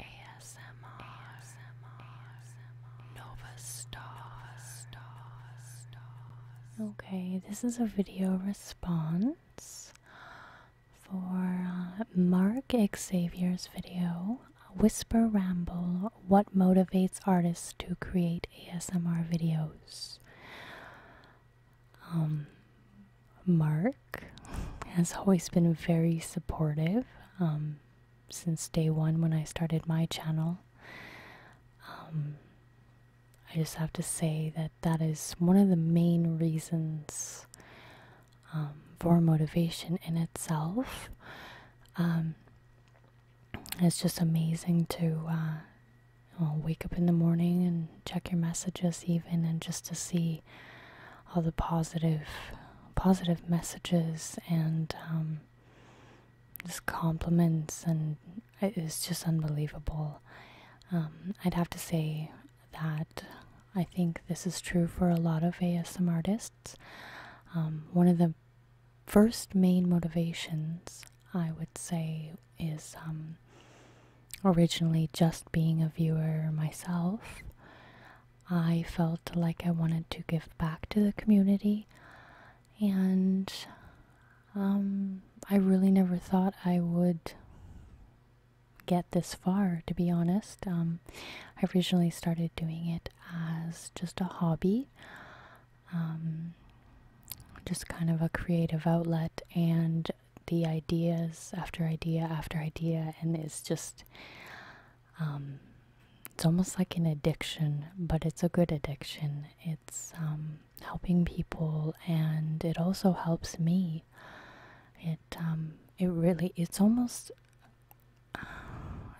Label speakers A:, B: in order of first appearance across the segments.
A: ASMR, Nova Star, Okay, this is a video response for uh, Mark Xavier's video, Whisper Ramble What Motivates Artists to Create ASMR Videos. Um, Mark has always been very supportive um, since day one when I started my channel. Um, I just have to say that that is one of the main reasons um, for motivation in itself. it's just amazing to uh, wake up in the morning and check your messages, even, and just to see all the positive positive messages and um, just compliments and it's just unbelievable um, i'd have to say that i think this is true for a lot of asm artists um, one of the first main motivations i would say is originally just being a viewer myself I felt like I wanted to give back to the community, and um, I really never thought I would get this far, to be honest. Um, I originally started doing it as just a hobby, um, just kind of a creative outlet, and the ideas after idea after idea, and it's just um, it's almost like an addiction, but it's a good addiction. It's um, helping people, and it also helps me. It um, it really it's almost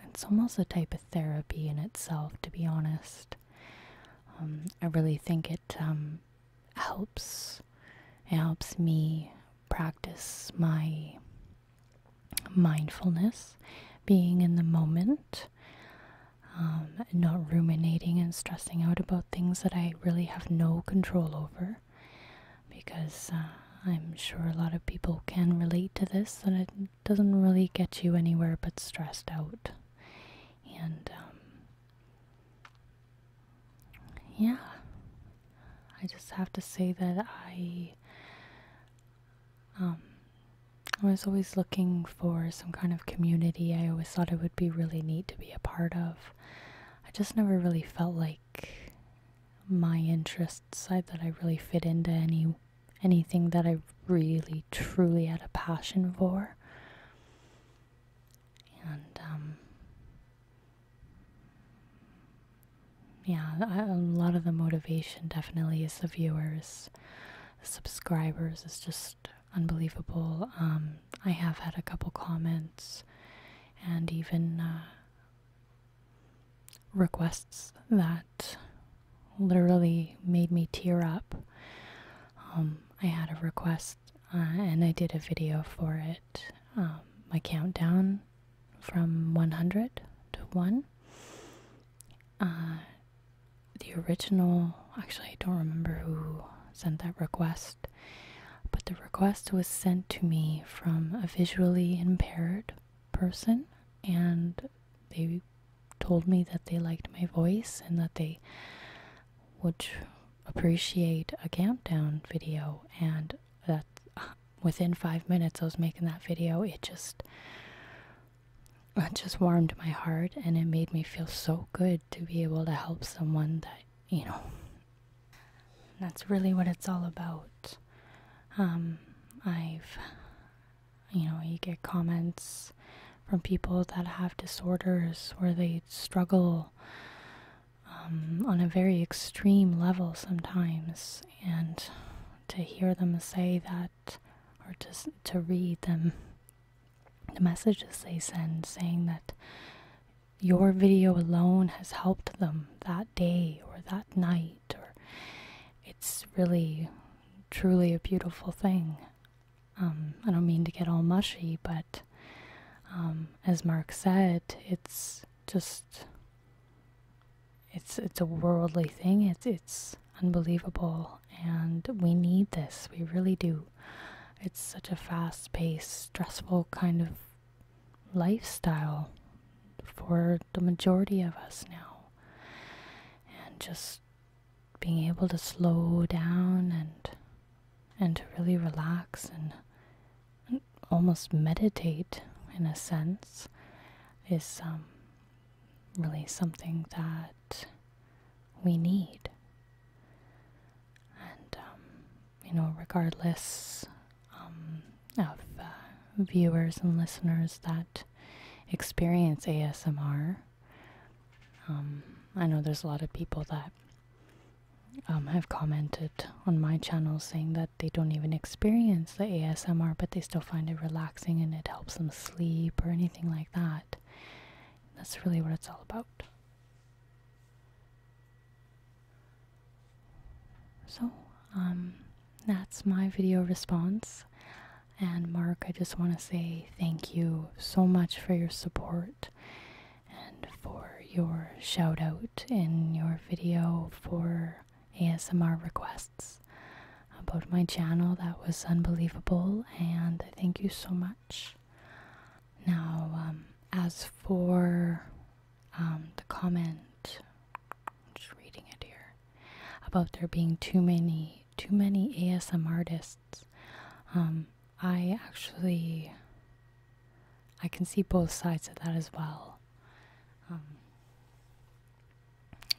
A: it's almost a type of therapy in itself, to be honest. I really think it helps. It helps me practice my mindfulness, being in the moment, um, not ruminating and stressing out about things that I really have no control over. Because uh, I'm sure a lot of people can relate to this, and it doesn't really get you anywhere but stressed out. And um, yeah, I just have to say that I um I was always looking for some kind of community. I always thought it would be really neat to be a part of. I just never really felt like my interests I, that I really fit into any anything that I really truly had a passion for. And um, yeah, a lot of the motivation definitely is the viewers, subscribers. It's just unbelievable. Um, I have had a couple comments and even uh, requests that literally made me tear up. Um, I had a request uh, and I did a video for it, um, my countdown from 100 to 1. Uh, the original, actually, I don't remember who sent that request, but the request was sent to me from a visually impaired person, and they told me that they liked my voice and that they would appreciate a countdown video, and that within five minutes I was making that video, it just just warmed my heart and it made me feel so good to be able to help someone that you know that's really what it's all about um, i've you know you get comments from people that have disorders where they struggle um, on a very extreme level sometimes, and to hear them say that, or to to read them, the messages they send saying that your video alone has helped them that day or that night, or it's really, truly a beautiful thing. Um, I don't mean to get all mushy, but um, as Mark said, it's just it's it's a worldly thing. It's it's unbelievable and we need this. We really do. It's such a fast-paced, stressful kind of lifestyle for the majority of us now. And just being able to slow down and and to really relax and almost meditate in a sense is um, really something that we need. And, um, you know, regardless um, of uh, viewers and listeners that experience ASMR, I know there's a lot of people that um, have commented on my channel saying that they don't even experience the ASMR, but they still find it relaxing and it helps them sleep or anything like that. That's really what it's all about. So, um, that's my video response. And Mark, I just want to say thank you so much for your support and for your shout out in your video for ASMR requests about my channel. That was unbelievable, and thank you so much. Now, um, as for um, the comment, I'm just reading it here about there being too many, too many ASMR artists. Um, I actually I can see both sides of that as well. Um,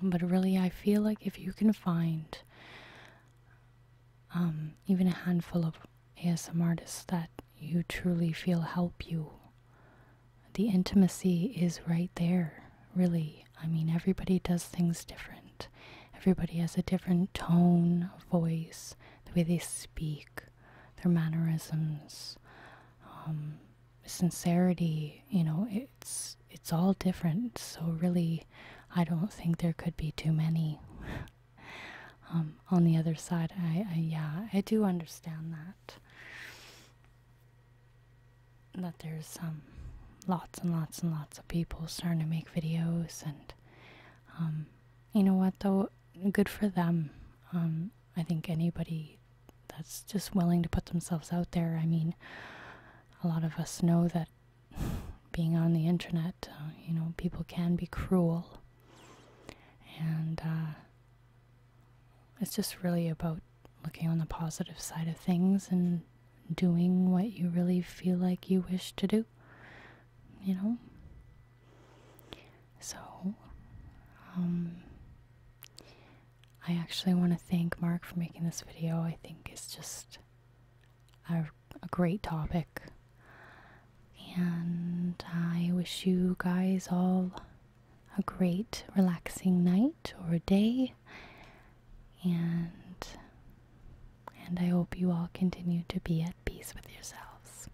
A: but really, I feel like if you can find um, even a handful of ASMR artists that you truly feel help you, the intimacy is right there, really. I mean, everybody does things different. Everybody has a different tone, voice, the way they speak their mannerisms, um, sincerity. You know, it's it's all different. So really, I don't think there could be too many. Um, on the other side, I, yeah, I do understand that that there's some um, lots and lots and lots of people starting to make videos and you know what though good for them. Um, I think anybody that's just willing to put themselves out there. I mean, a lot of us know that being on the internet, uh, you know, people can be cruel. And uh, it's just really about looking on the positive side of things and doing what you really feel like you wish to do, you know? So, um, I actually want to thank Mark for making this video. I think it's just a, a great topic. And I wish you guys all a great, relaxing night or day. And and I hope you all continue to be at peace with yourselves.